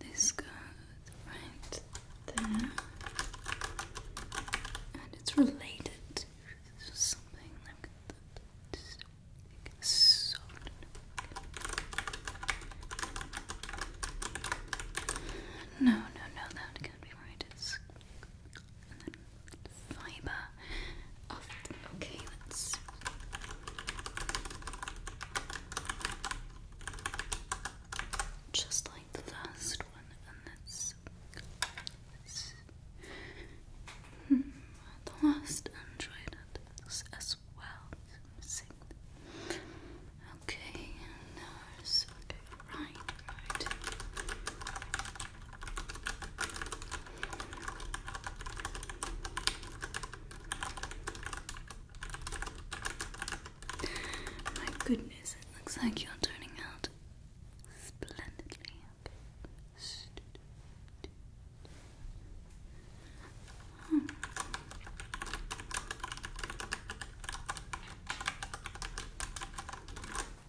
This goes right there, and it's related to something like that. Just so no, no, no, that can't be right. It's fiber. okay, let's just like the last one, and that's, hmm, the last android as well. Okay, and ours. Okay, right. My goodness, it looks like you're turning out splendidly.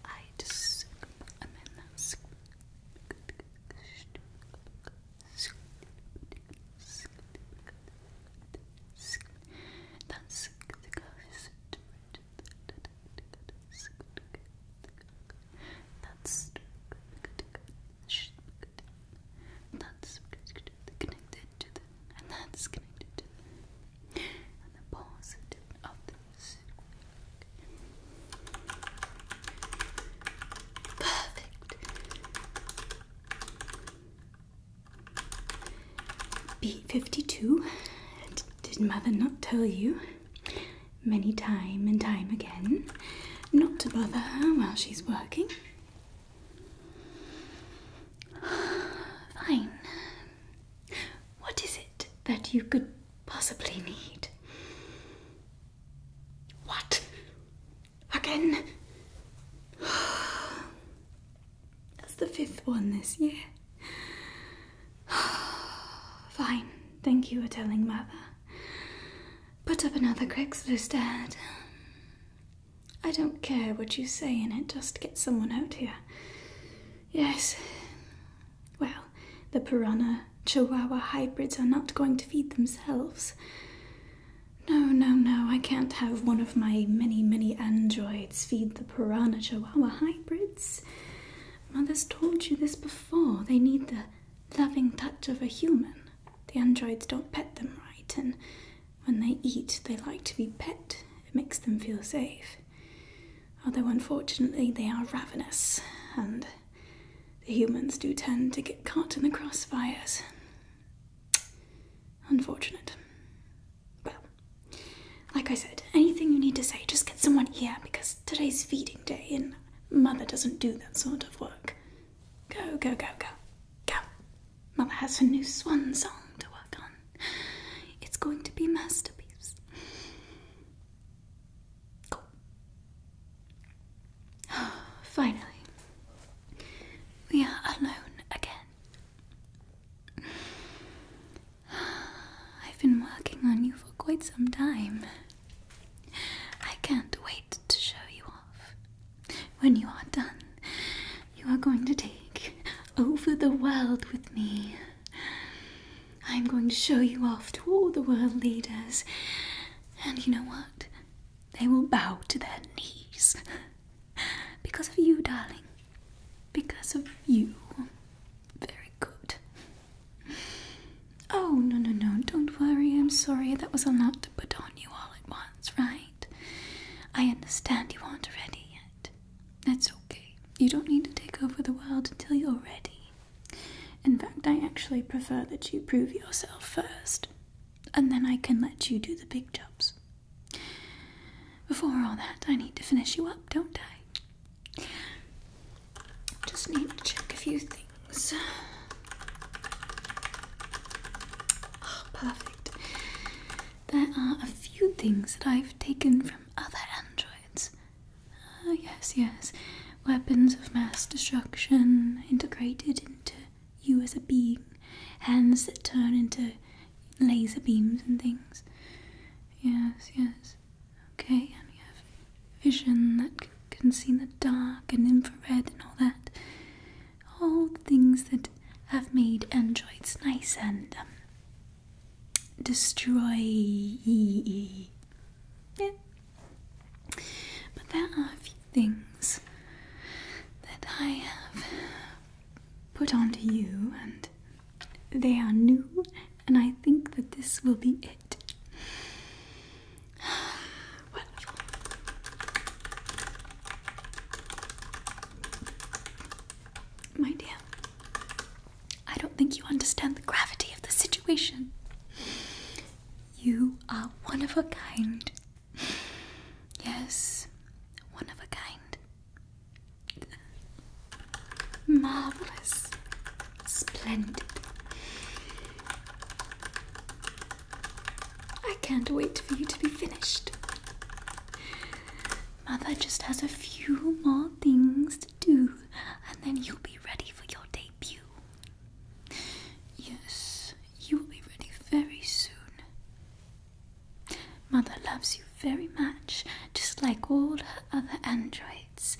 I just, I mean, that's that's the connected to the and that's connected to the positive of this. Perfect. Beat 52. Did mother not tell you? Many time and time again, not to bother her while she's working. Fine. What is it that you could possibly need? What? Again. That's the fifth one this year. Fine, thank you for telling Mother. Put up another Craigslist ad. I don't care what you say in it, just get someone out here. Yes. Well, the piranha chihuahua hybrids are not going to feed themselves. No, no, no, I can't have one of my many, many androids feed the piranha chihuahua hybrids. Mother's told you this before. They need the loving touch of a human. The androids don't pet them right, and when they eat, they like to be pet. It makes them feel safe. Although, unfortunately, they are ravenous, and the humans do tend to get caught in the crossfires. Unfortunate. Well, like I said, anything you need to say, just get someone here because today's feeding day and Mother doesn't do that sort of work. Go, go, go, go. Go. Mother has her new swan song to work on. It's going to be a masterpiece. Cool. Finally, we are alone again. I've been working on you for quite some time. I can't wait to show you off. When you are done, you are going to take over the world with me. I'm going to show you off to all the world leaders. And you know what? They will bow to their knees. Because of you, darling. Because of you. Very good. Oh, no, no, no. Don't worry. I'm sorry. That was a lot to put on you all at once, right? I understand you aren't ready yet. That's okay. You don't need to take over the world until you're ready. In fact, I actually prefer that you prove yourself first and then I can let you do the big jobs. Before all that, I need to finish you up, don't I? Just need to check a few things. Oh, perfect. There are a few things that I've taken from other androids. Ah, yes, yes. Weapons of mass destruction integrated into you as a being, hands that turn into laser beams and things. Yes, yes. Okay, and we have vision that can see in the dark and infrared and all that. All the things that have made androids nice and um, destroy. Yeah. But there things that I have put onto you, and they are new, and I think that this will be it. Well, my dear, I don't think you understand the gravity of the situation. You are one of a kind. Yes, one of a kind. Marvelous. Splendid. I can't wait for you to be finished. Mother just has a few more things to do, and then you'll be ready for your debut. Yes, you will be ready very soon. Mother loves you very much, just like all her other androids.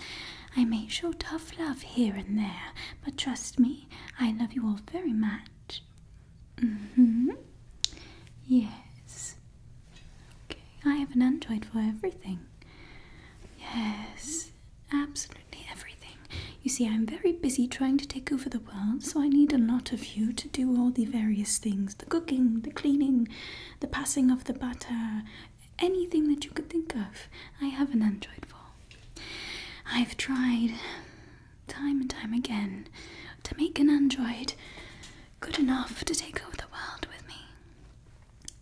I may show tough love here and there, but trust me, I love you all very much. hmm. Yes. Okay, I have an android for everything. Yes, absolutely everything. You see, I'm very busy trying to take over the world, so I need a lot of you to do all the various things the cooking, the cleaning, the passing of the butter, anything that you could think of. I have an android for. I've tried time and time again to make an android good enough to take over the world with me.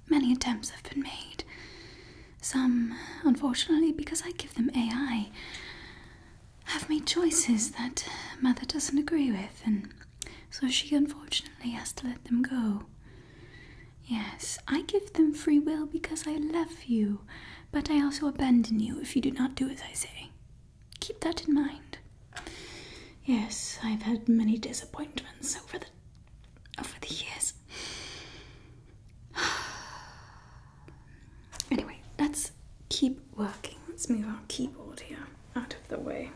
Many attempts have been made. Some, unfortunately, because I give them AI, have made choices that mother doesn't agree with, and so she unfortunately has to let them go. Yes, I give them free will because I love you, but I also abandon you if you do not do as I say. Keep that in mind. Yes, I've had many disappointments over the over the years. Anyway, let's keep working. Let's move our keyboard here out of the way.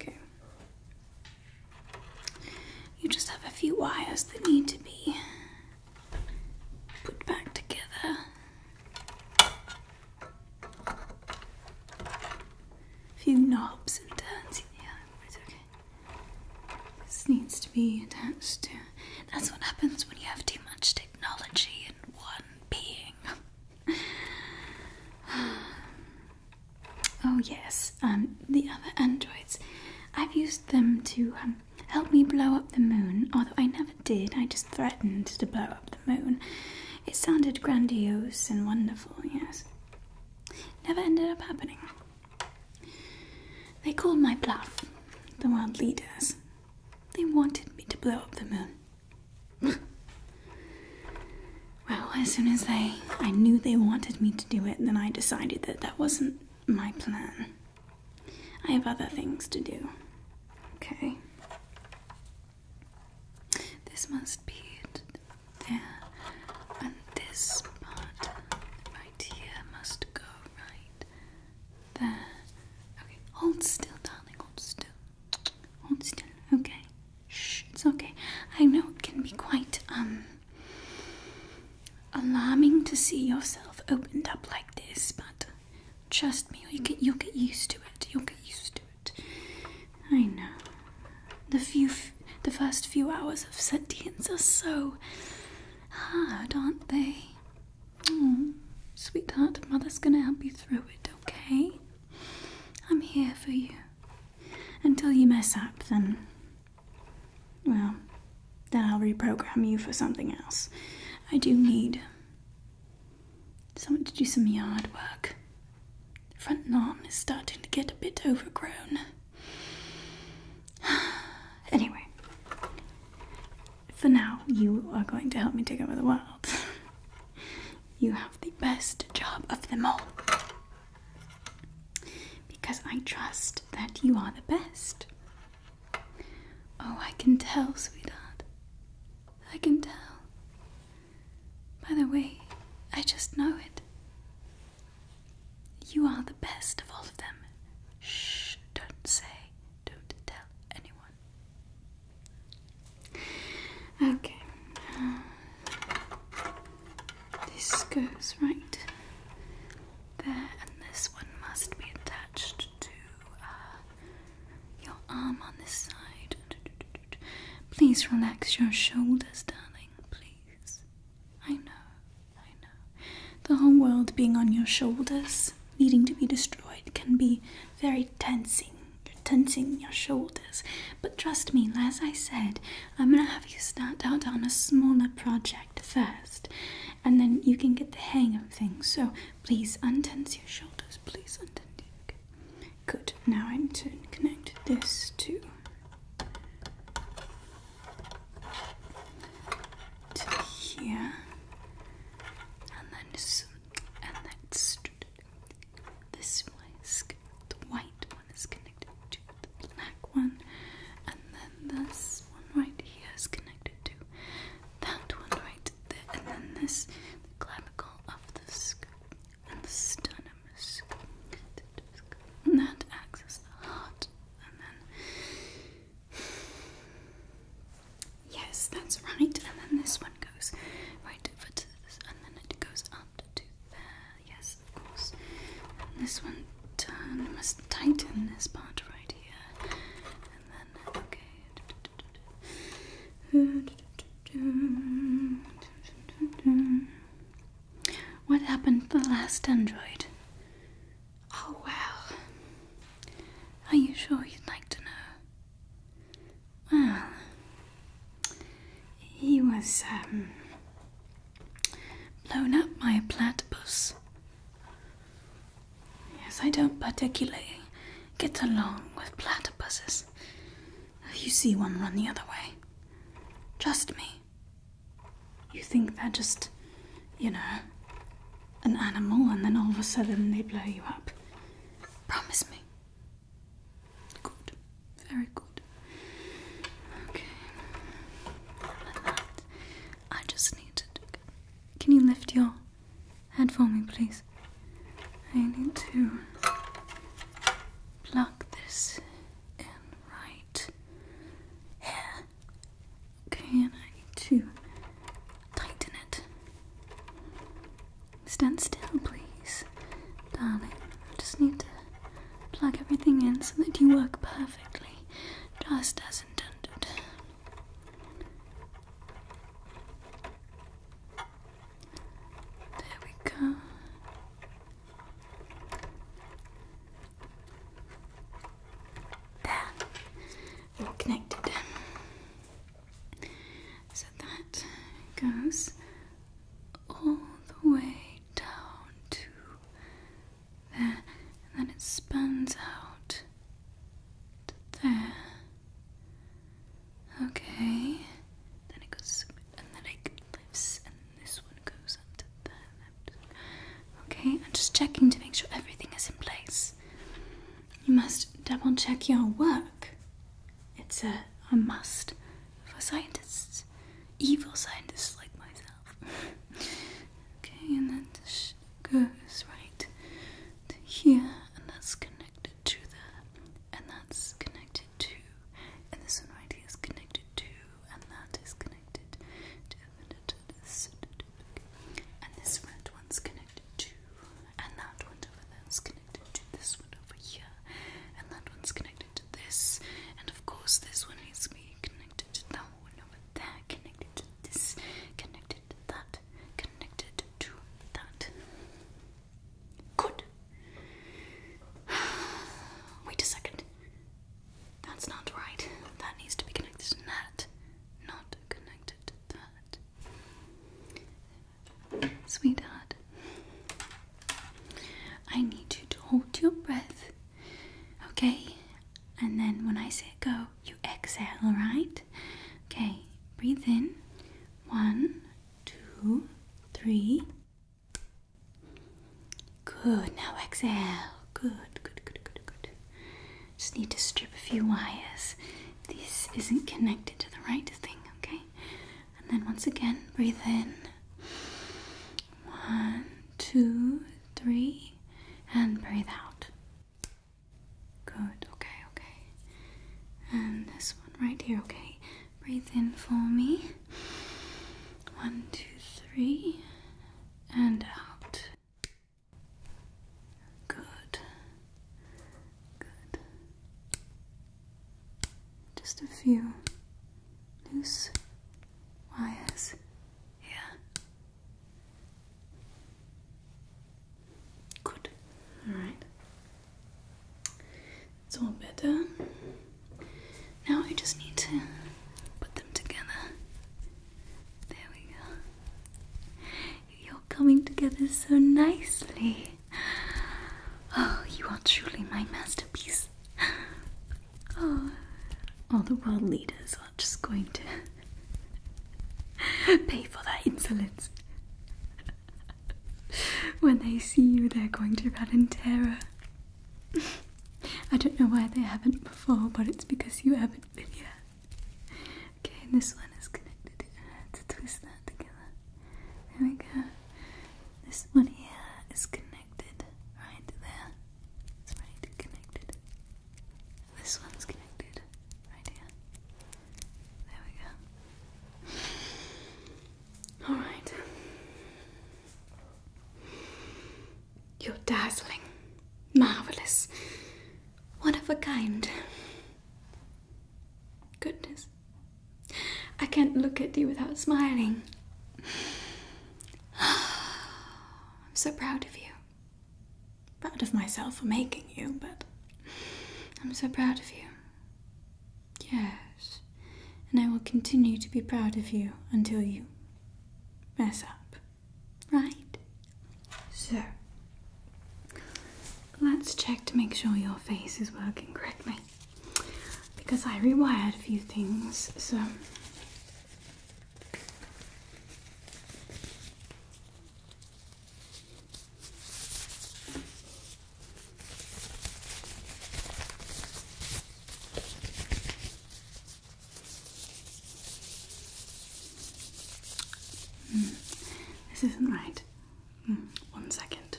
Okay. You just have a few wires that need to be put back together. A few knobs and turns in here. It's okay. This needs to be attached to. That's what happens when you have too much technology in one being. oh, yes, um, the other androids. I've used them to um, help me blow up the moon, although I never did, I just threatened to blow up the moon. It sounded grandiose and wonderful, yes. Never ended up happening. They called my bluff, the world leaders. They wanted me to blow up the moon. well, as soon as they, I knew they wanted me to do it, then I decided that that wasn't my plan. I have other things to do. Okay. This must be it. There. And this part right here must go right there. Okay, hold still, darling, hold still. Hold still, okay. Shh, it's okay. I know it can be quite, um, alarming to see yourself opened up like this, but trust me, you will get used to it. You'll get used to it. I know. The few, the first few hours of sentience are so hard, aren't they? Oh, sweetheart, Mother's gonna help you through it, okay? I'm here for you. Until you mess up, then. Well, then I'll reprogram you for something else. I do need someone to do some yard work. The front lawn is starting to get a bit overgrown. anyway, for now, you are going to help me take over the world. you have the best job of them all. Because I trust that you are the best. Oh, I can tell, sweetheart. I can tell. By the way, I just know it. You are the best of all of them. Shh, don't say, don't tell anyone. Okay. this goes right there, and this one must be attached to uh, your arm on this side. Please relax your shoulders, darling. Please. I know, I know. The whole world being on your shoulders, needing to be destroyed, can be very tensing. You're tensing your shoulders. But trust me, as I said, I'm gonna have you start out on a smaller project first, and then you can get the hang of things. So please untense your shoulders, please untense. Good. Now I'm to connect this to to here, and then some, and that's this one is the white one is connected to the black one, and then this one right here is connected to that one right there, and then this the clavicle of the skull and the sternum is skull, and that access as the heart, and then Yes, that's right. And then this one goes right over this, and then it goes up to there. Yes, of course. this one turn. must tighten this part right here. And then, okay. What happened to the last android? Oh, well. Are you sure you'd like to know? Well, he was um, blown up by a platypus. Yes, I don't particularly get along with platypuses. If you see one run the other way, trust me, you think they're just, you know, an animal and then all of a sudden they blow you up. Promise me. Good. Very good. Okay. I just need to. Can you lift your head for me, please? I need to plug this in right here. Okay, and I need to tighten it. Stand still, please, darling. I just need to plug everything in so that you work perfectly, just as intended. There we go. There, connected. So that goes all the way down to there, and then it spins out to there. Okay, then it goes, and then it lifts, and this one goes up there. Okay, I'm just checking to make sure everything is in place. You must double check your work. It's a, must for scientists, evil scientists like myself. okay, and then this goes right to here, and that's connected to there, and that's connected to, and this one right here is connected to, and that is connected connected to this and this red one's connected to and that one over there's connected to this one over here and that one's connected to this and of course this one needs to be connected to that one over there connected to this connected that connected to that good wait a second that's not right. That needs to be connected to that, not Sweetheart, I need you to hold your breath, okay? And then when I say go, you exhale, alright? Okay, breathe in. One, two, three. Good, now exhale good, good, good, good, good. Just need to strip a few wires. This isn't connected to the right thing, okay? And then once again, breathe in. One, two, three, and breathe out. Good, okay, okay. And this one right here, okay? Breathe in for me. One, two, three, and out. Good. Good. Just a few loose wires here. Good. Alright. It's all better. Now I just need to put them together there we go. You're coming together so nicely. Oh, you are truly my masterpiece. Oh, all the world leaders are just going to pay for their insolence. when they see you, they're going to run in terror. I don't know why they haven't before, but it's because you haven't been yet. Okay, this one is connected. let twist that together. There we go. This one here is connected right there. It's right connected. This one's connected right here. There we go. All right. You're dazzling, marvellous, one of a kind. Goodness, I can't look at you without smiling. I'm so proud of you. Proud of myself for making you, but I'm so proud of you. Yes, and I will continue to be proud of you until you mess up. Right? So, let's check to make sure your face is working correctly. Because I rewired a few things, so. Mm. this isn't right. Mm, one second.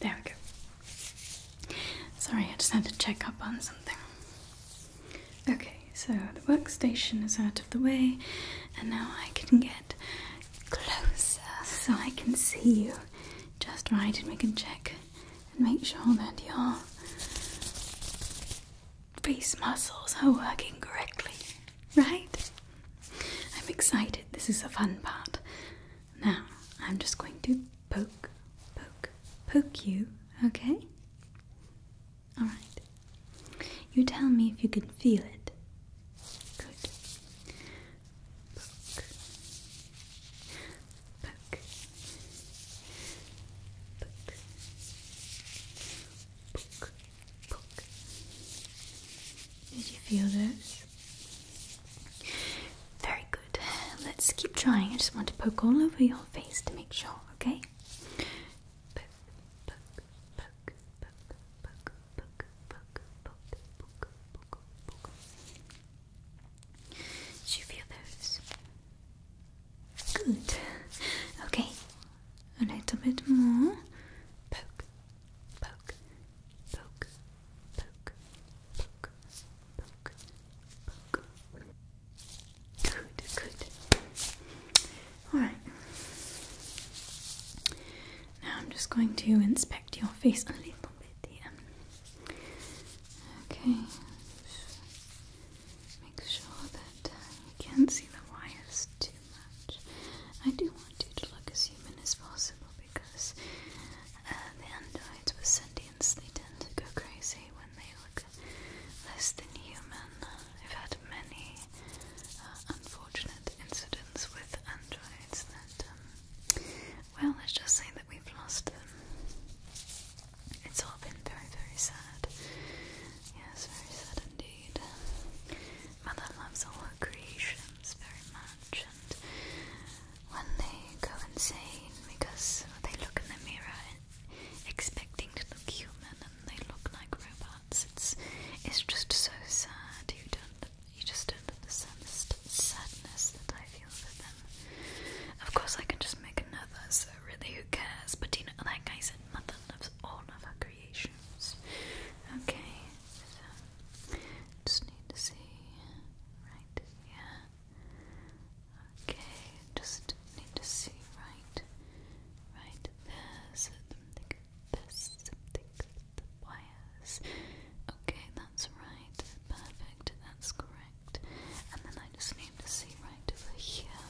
There we go. Sorry, I just had to check up on something. Okay, so the workstation is out of the way, and now I can get closer so I can see you just right and we can check and make sure that your face muscles are working correctly, right? I'm excited. This is a fun part. Now, I'm just going to poke, poke, poke you, okay? Alright. You tell me if you can feel it. Good poke, poke, poke, poke. Did you feel that? Very good. Let's keep trying. I just want to poke all over your face to make sure, okay? Do you feel those? Good. Okay. A little bit more. Poke, poke, poke, poke, poke, poke, poke. Good, good. Alright. Now I'm just going to inspect your face a little bit here. Okay, make sure that you can't see the wires too much. I do want you to look as human as possible because uh, the androids with sentience, they tend to go crazy when they look less than human. I've had many uh, unfortunate incidents with androids that, um, well, let's just say that we've lost them. It's all been very, very sad. Yes, very sad indeed. Mother loves all her creations very much, and when they go insane because they look in the mirror and expecting to look human and they look like robots, it's just so sad. You don't you just don't understand the sadness that I feel for of course, I can just make another, so really, who cares? But you know, like I said, Mother loves all of her creations. Okay, just need to see right here. Okay, just need to see right, right there. So something, there's Okay, that's right. Perfect, that's correct. And then I just need to see right over here.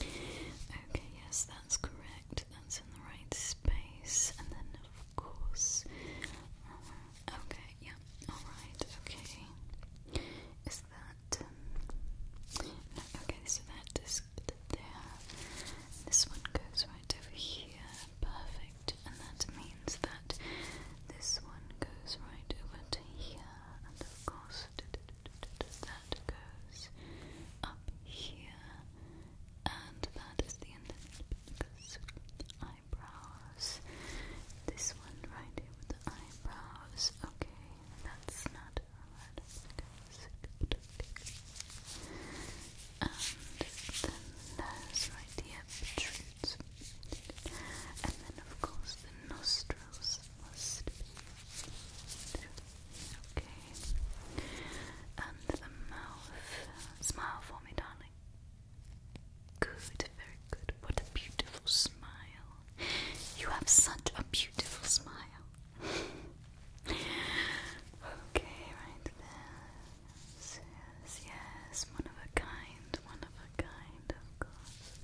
Okay, yes, that's correct. That's in the right space. And then, of course, uh, okay, yeah, alright, okay. Is that. Um, okay, so that is there. This one goes right over here. Perfect. And that this one goes right over to here, and of course that goes up here, and that is the end of the eyebrows. This one right here with the eyebrows. Okay, that's not right. Okay. And then nose right here protrudes and then, of course, the nostrils must be okay. And the mouth. Smile for me, darling. Good, very good. What a beautiful smile. You have such a beautiful smile. okay, right there. Yes, yes, one of a kind kind, one of a kind, of course.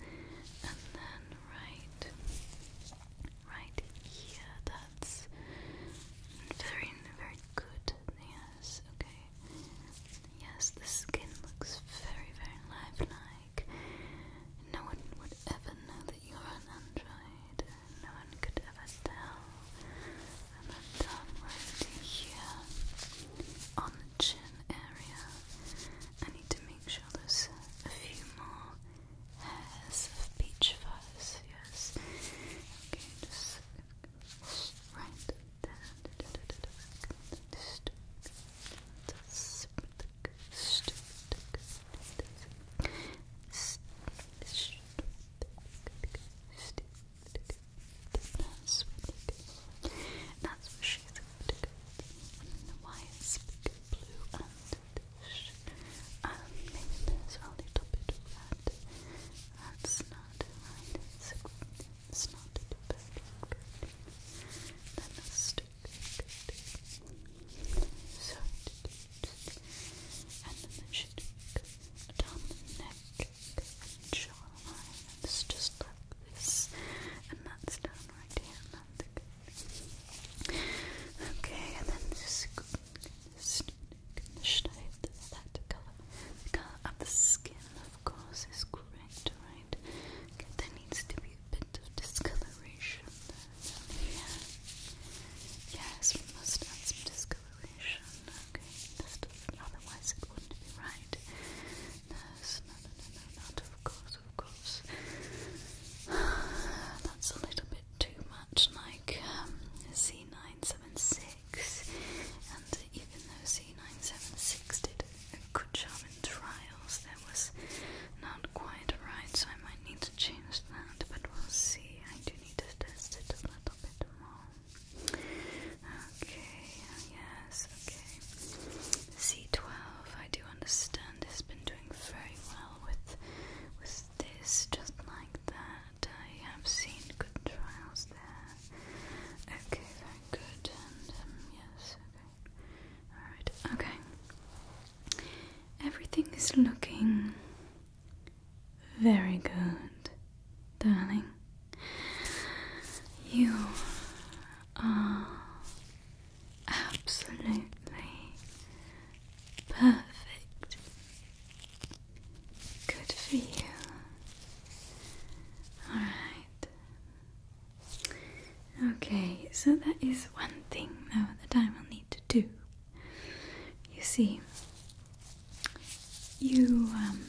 And then right, right here, that's very, very good. Yes, okay. Yes, the skin looks very, very lifelike. No one would ever know that you're an android. No one could ever tell. And then down right here, on the chin area, I need to make sure there's a few more hairs of peach fuzz, yes. Okay, just right stupid, stupid, stupid, stupid, stupid, stupid that's where good. That's what she's going why is blue and dish? Um, little bit of that. not right. It's, it's not the best. So and then the should down the neck it's just like this, and that's down right here. Okay, and then just shade that color. The color of the skin, of course, is correct, right? there needs to be a bit of discoloration Yes, we must add some discoloration. Okay, otherwise it wouldn't be right no, no, not of course, of course. That's a little bit too much like C976 and even though C976 did a good job in trials, there was not quite right, so I might need to change that, but we'll see. I do need to test it a little bit more. Okay, yes, okay. C12, I do understand, has been doing very well with with this, just like that. I have seen good trials there. Okay, very good. And um, yes, okay. Alright, okay. Everything is looking very good, darling. You are ah, absolutely perfect. Good for you. Alright. Okay, so that is one thing now that I will need to do. You see, you, um,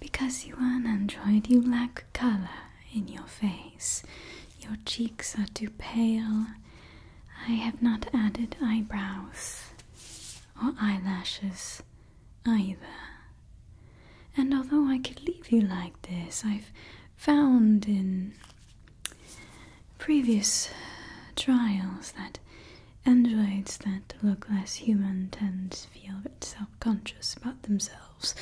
because you are an android, you lack colour in your face. Your cheeks are too pale. I have not added eyebrows or eyelashes either. And although I could leave you like this, I've found in previous trials that androids that look less human tend feel a bit self conscious about themselves.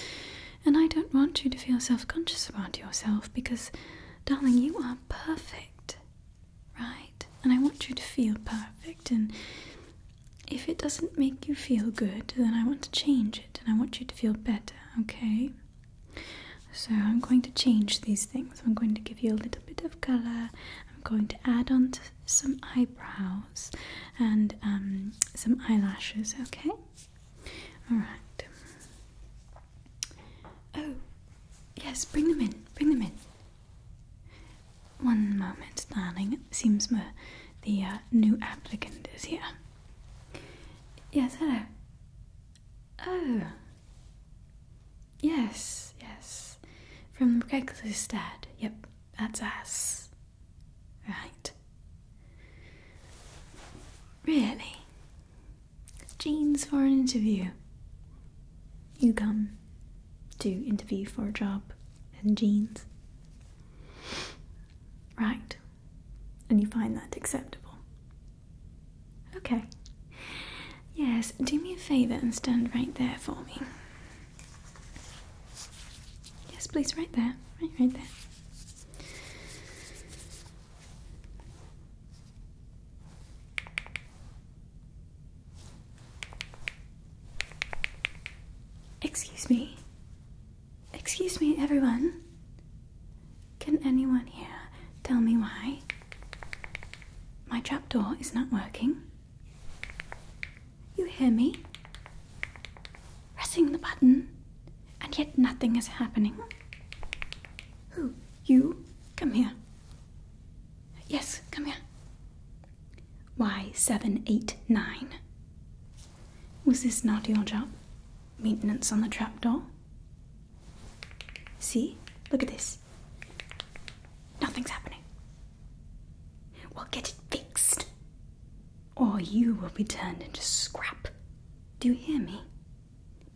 And I don't want you to feel self conscious about yourself because, darling, you are perfect, right? And I want you to feel perfect. And if it doesn't make you feel good, then I want to change it and I want you to feel better, okay? So I'm going to change these things. I'm going to give you a little bit of color. I'm going to add on to some eyebrows and um, some eyelashes, okay? Alright. Oh, yes, bring them in, bring them in. One moment, darling. It seems the uh, new applicant is here. Yes, hello. Oh. Yes, yes. From Regler's dad. Yep, that's us. Right. Really? Jeans for an interview. You come to interview for a job in jeans. Right. And you find that acceptable. Okay. Yes, do me a favour and stand right there for me. Yes, please, right there. Right, right there. Excuse me. Excuse me, everyone. Can anyone here tell me why my trap door is not working? You hear me? Pressing the button, and yet nothing is happening. Who? You? Come here. Yes, come here. Y789. Was this not your job? Maintenance on the trapdoor? See? Look at this. Nothing's happening. We'll get it fixed or you will be turned into scrap. Do you hear me?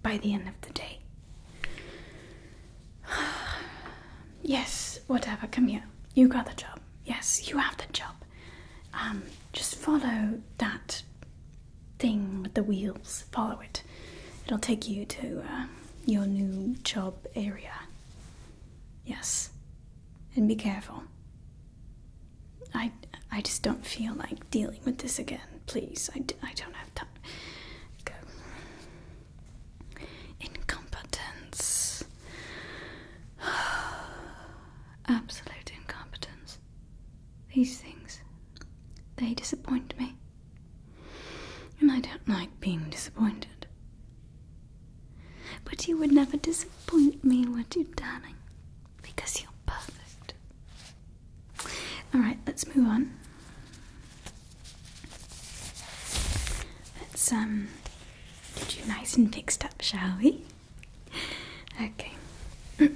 By the end of the day. yes, whatever, come here. You got the job. Yes, you have the job. Um, just follow that thing with the wheels. Follow it. It'll take you to uh, your new job area. Yes. And be careful. I, I just don't feel like dealing with this again. Please, I, I don't have time. Incompetence. Absolute incompetence. These things, they disappoint me. And I don't like being disappointed. But you would never disappoint me, would you, darling? Because you're perfect. Alright, let's move on. Let's, um, get you nice and fixed up, shall we? Okay.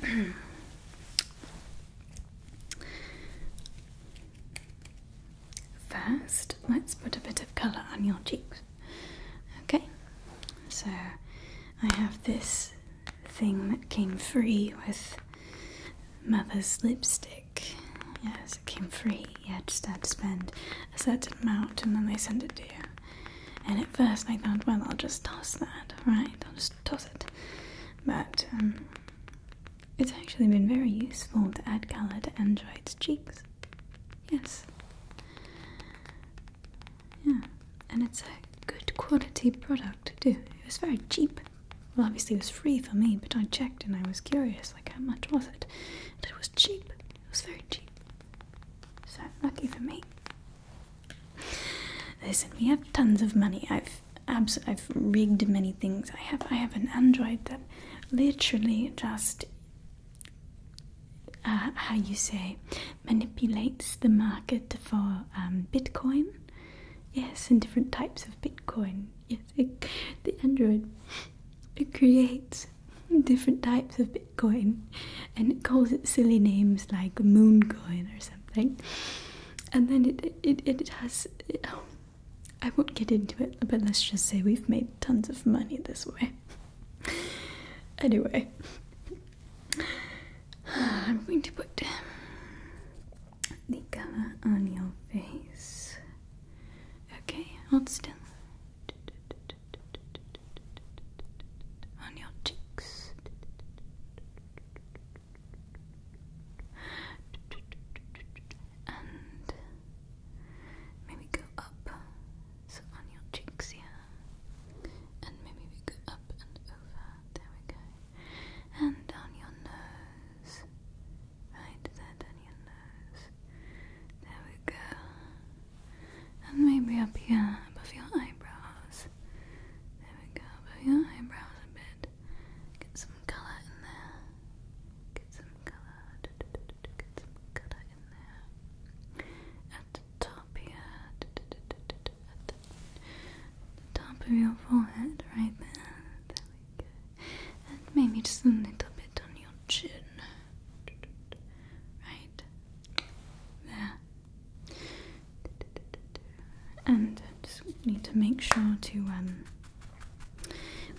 First, let's put a bit of colour on your cheeks. Okay, so I have this thing that came free with mother's lipstick. Yes, it came free. You just had to spend a certain amount and then they sent it to you. And at first I thought, well, I'll just toss that, right? I'll just toss it. But um, it's actually been very useful to add colour to Android's cheeks. Yes. Yeah, and it's a good quality product too. It was very cheap. Well, obviously, it was free for me, but I checked and I was curious like, how much was it? it was cheap. It was very cheap. So, lucky for me. Listen, we have tons of money. I've abs I've rigged many things. I have I have an Android that literally just uh, how you say manipulates the market for um, Bitcoin. Yes, and different types of Bitcoin. Yes, the android it creates different types of Bitcoin, and it calls it silly names like Mooncoin or something. And then it it it, has. I won't get into it, but let's just say we've made tons of money this way. anyway, I'm going to put um, the color on your face. Okay, hold still. On your cheeks. And maybe go up. So on your cheeks, yeah and maybe we go up and over. There we go. And down your nose. Right there, down your nose. There we go. And maybe up here, above your eyebrows. There we go, above your eyebrows a bit. Get some colour in there. Get some colour. Get some colour in there. At the top of your forehead, right there. There we go. And maybe just a little bit on your chin. Right there. And just need to make sure to um,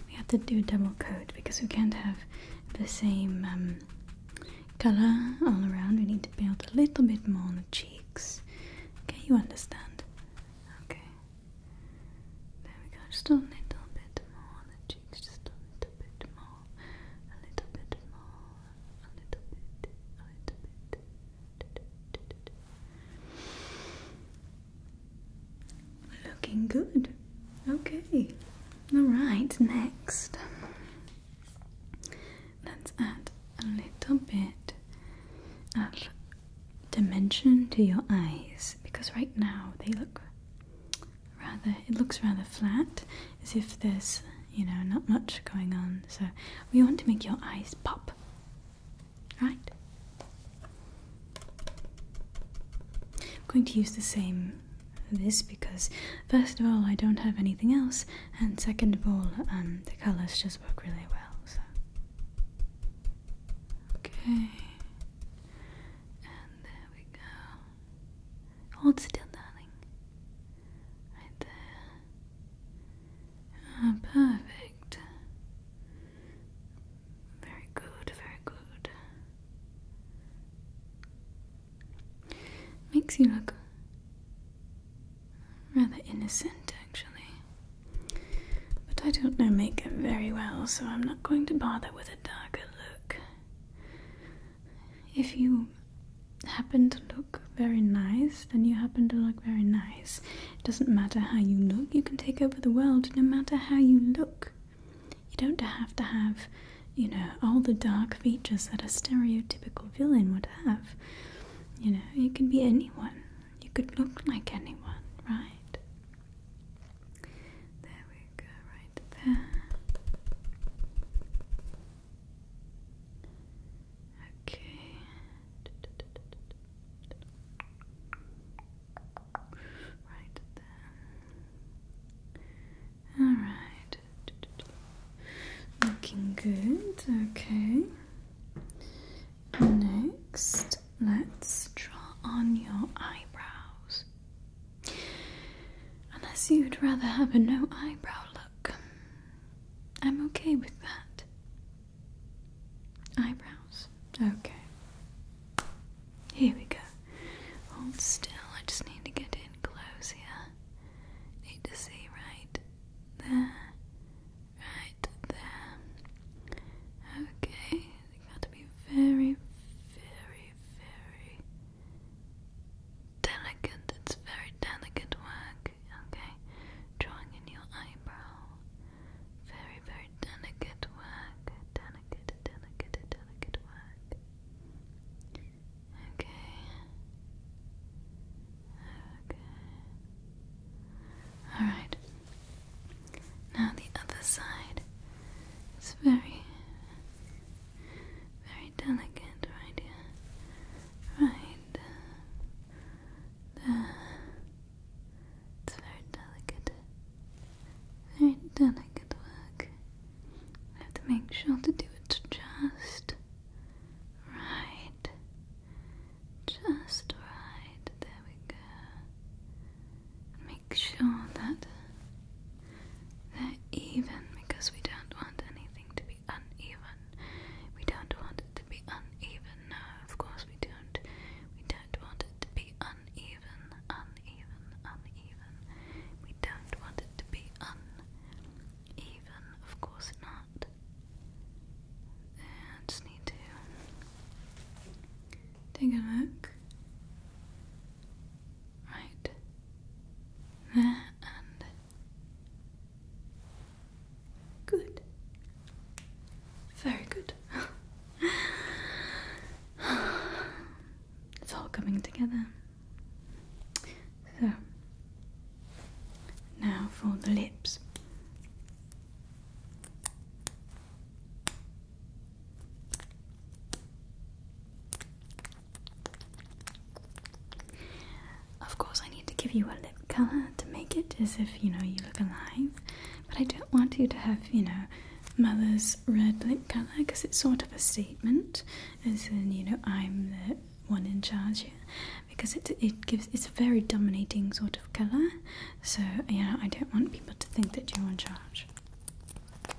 we have to do double coat because we can't have the same um, color all around. We need to build a little bit more on the cheeks. Okay, you understand? Okay. There we go. Just a little bit more on the cheeks. Just a little bit more. A little bit more. A little bit. A little bit. Looking good. Okay. All right. Next. Let's add a little bit of dimension to your eyes because right now they look rather it looks rather flat as if there's you know not much going on so we want to make your eyes pop right I'm going to use the same this because first of all I don't have anything else and second of all um the colours just work really well so okay and there we go hold oh, still darling right there ah, perfect very good very good Makes you look rather innocent, actually. But I don't know makeup very well, so I'm not going to bother with a darker look. If you happen to look very nice, then you happen to look very nice. It doesn't matter how you look, you can take over the world no matter how you look. You don't have to have you know, all the dark features that a stereotypical villain would have. You know, you could be anyone. You could look like anyone, right? There we go, right there. Okay. Right there. Alright. Looking good, okay. Next, let's draw on your eyebrows. Unless you'd rather have a no eyebrow look, I'm okay with that. Eyebrows, okay. Here we go. Hold still, I just need to get in close here. Need to see right there. Right there. Okay, got to be very, very, very delicate. It's very delicate work. Okay, drawing in your eyebrow. Very, very delicate work. Delicate, delicate, delicate work. Okay. Okay. All right. Now the other side is very, very delicate right here. Right there. It's very delicate. Very delicate work. I have to make sure to do it just Right. Just right. There we go. Make sure that they're even because we don't want anything to be uneven. We don't want it to be uneven. No, of course we don't. We don't want it to be uneven, uneven, uneven. We don't want it to be uneven even, of course not. I just need to take a look. Right there and good. Very good. it's all coming together. So, now for the lips. Of course, I need to give you a lip colour to make it as if you know you look alive, but I don't want you to have you know mother's red lip colour because it's sort of a statement, as in you know I'm the one in charge here because it it gives it's a very dominating sort of color. So yeah, I don't want people to think that you're in charge. I'm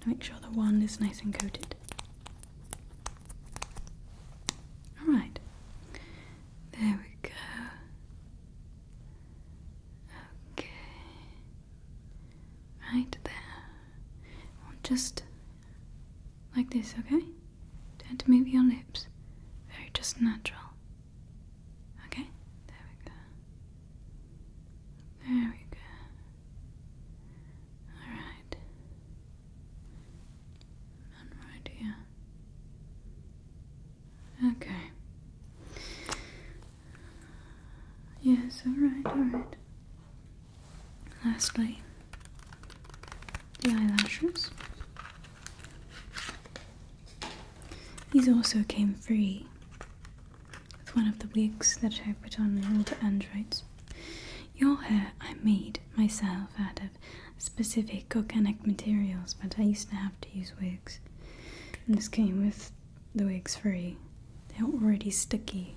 gonna make sure the one is nice and coated. All right, there we go. Okay, right there. Just like this, okay? Don't move your lips. Very just natural. Okay? There we go. There we go. Alright. right here. Okay. Yes, alright, alright. Lastly, the eyelashes. These also came free with one of the wigs that I put on older androids. Your hair I made myself out of specific organic materials, but I used to have to use wigs. And this came with the wigs free. They're already sticky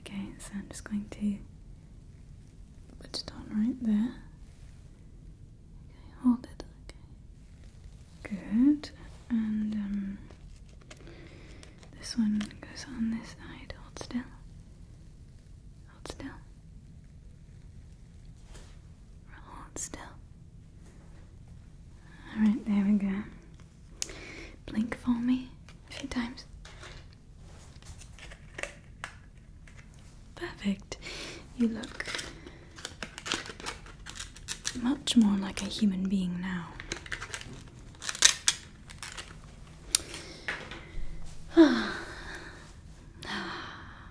Okay, so I'm just going to put it on right there. Okay, hold it. Okay. Good. And um, this one goes on this side. Hold still. Hold still. Hold still. Alright, there we go. Blink for me a few times. Perfect. You look much more like a human being now.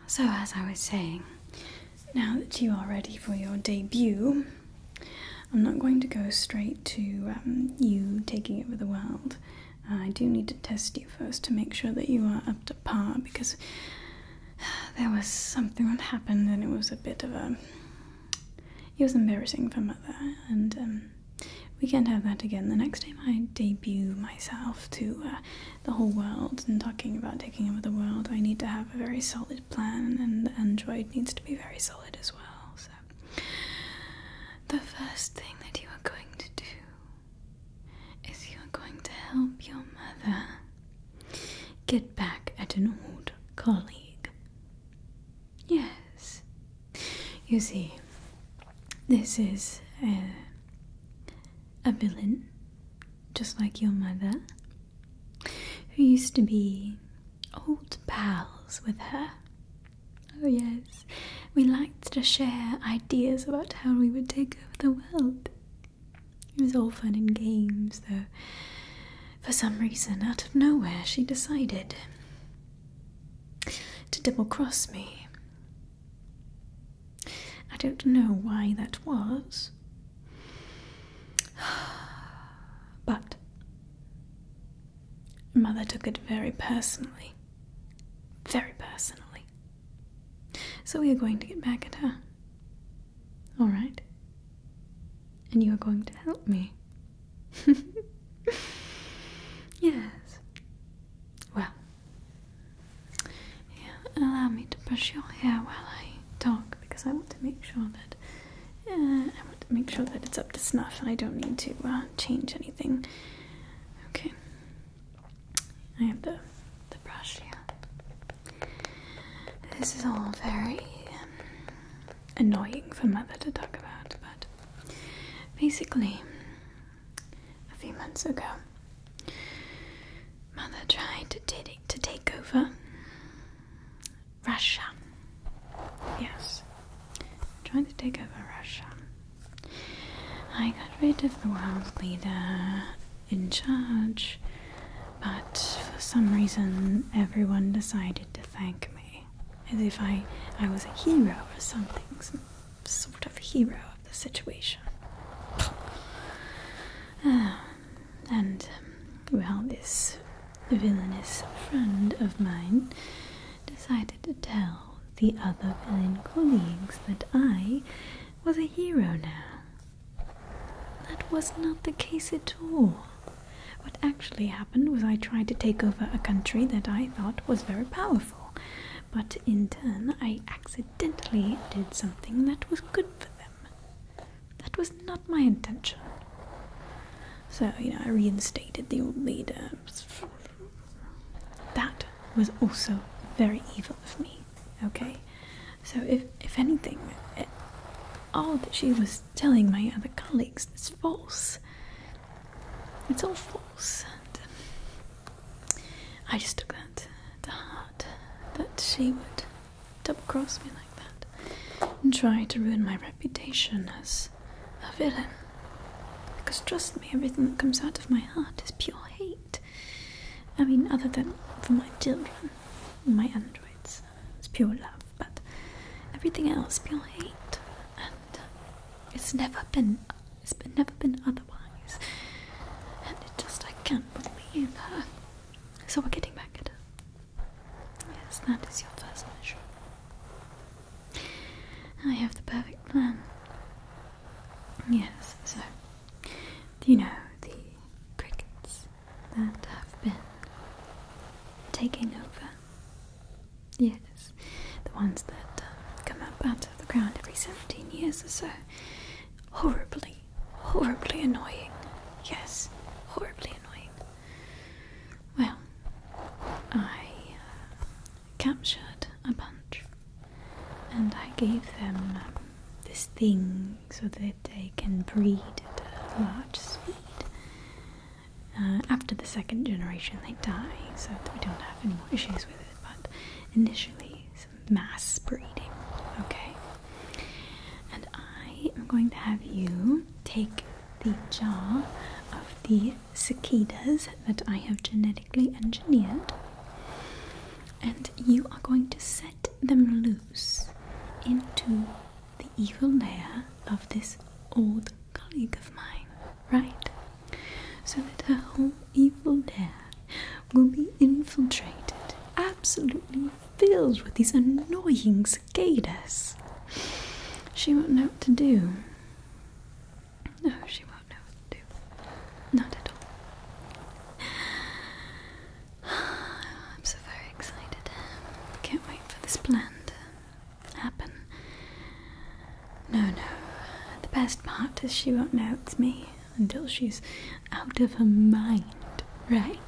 so, as I was saying, now that you are ready for your debut, I'm not going to go straight to um, you taking over the world. Uh, I do need to test you first to make sure that you are up to par because there was something that happened and it was a bit of a. It was embarrassing for Mother, and um, we can't have that again. The next time I debut myself to uh, the whole world and talking about taking over the world, I need to have a very solid plan, and Android needs to be very solid as well the first thing that you are going to do is you are going to help your mother get back at an old colleague. Yes. You see, this is a villain, just like your mother, who used to be old pals with her. Oh, yes, we liked to share ideas about how we would take over the world. It was all fun and games, though. For some reason, out of nowhere, she decided to double cross me. I don't know why that was, but Mother took it very personally. Very personally. So we are going to get back at her. Alright? And you are going to help me. yes. Well, yeah, allow me to brush your hair while I talk because I want to make sure that uh, to make sure that it's up to snuff and I don't need to uh, change anything. Okay. I have the, the brush, here. This is all very um, annoying for Mother to talk about, but basically, a few months ago, Mother tried to, to take over Russia. Yes, trying to take over Russia. I got rid of the world leader in charge, but for some reason everyone decided to thank me as if I, I was a hero or something, some sort of hero of the situation. Ah, and, um, well, this villainous friend of mine decided to tell the other villain colleagues that I was a hero now. That was not the case at all. What actually happened was I tried to take over a country that I thought was very powerful, but in turn I accidentally did something that was good for them. That was not my intention. So, you know, I reinstated the old leader, that was also very evil of me, okay? So, if, if anything, all that she was telling my other colleagues is false. It's all false. Um, I just took that to heart that she would double cross me like that and try to ruin my reputation as a villain. Because trust me, everything that comes out of my heart is pure hate. I mean, other than for my children, my androids, it's pure love, but everything else, pure hate. And uh, it's never been, it's been, never been otherwise. And it just, I can't believe her. So we're getting back at her. Yes, that is your first measure. I have the perfect plan. Yes, so do you know the crickets that have been taking over? Yes, the ones that um, come up out of the ground every 17 years or so. Horribly, horribly annoying. Yes, horribly annoying. Well, I uh, captured a bunch and I gave them um, this thing so that they can breed at a large speed. Uh, after the second generation, they die, so we don't have any more issues with it, but initially, some mass breeding, okay? And I am going to have you take the jaw of the the cicadas that I have genetically engineered, and you are going to set them loose into the evil lair of this old colleague of mine, right? So that her whole evil lair will be infiltrated, absolutely filled with these annoying cicadas. She won't know what to do. No, she won't know what to do. Not at all. I'm so very excited. Can't wait for this plan to happen. No, no. The best part is she won't know it's me until she's out of her mind, right?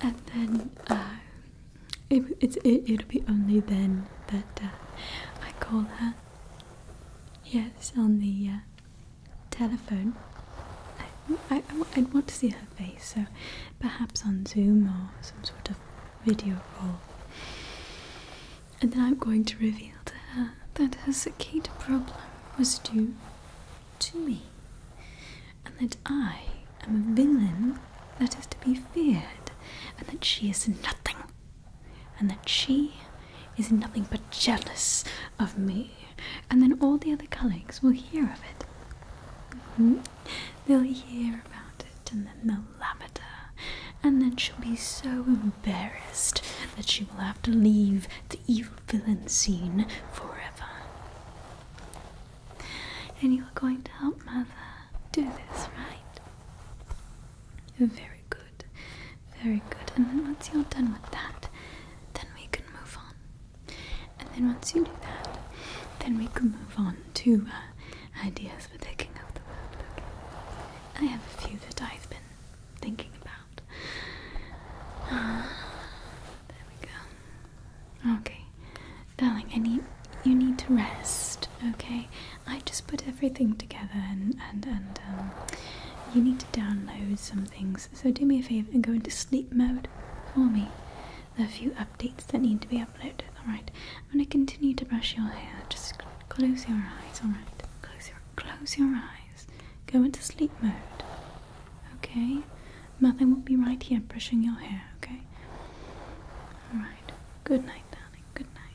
And then, uh, it, will be only then that uh, I call her. Yes, on the uh, telephone. I, I'd want to see her face, so perhaps on Zoom or some sort of video call. And then I'm going to reveal to her that her cicada problem was due to me, and that I am a villain that is to be feared, and that she is nothing, and that she is nothing but jealous of me, and then all the other colleagues will hear of it. Mm-hmm. They'll hear about it, and then they'll laugh at her, and then she'll be so embarrassed that she will have to leave the evil villain scene forever. And you're going to help Mother do this, right? Very good, very good. And then once you're done with that, then we can move on. And then once you do that, then we can move on to uh, ideas for taking up the world. I have a few that I've been thinking about. Ah, there we go. Okay, darling, I need you need to rest. Okay, I just put everything together, and and and um, you need to download some things. So do me a favor and go into sleep mode for me. There are a few updates that need to be uploaded. All right, I'm gonna continue to brush your hair. Just close your eyes. All right, close your close your eyes. Go into sleep mode. Okay, Nothing will be right here brushing your hair. Okay. All right. Good night, darling. Good night.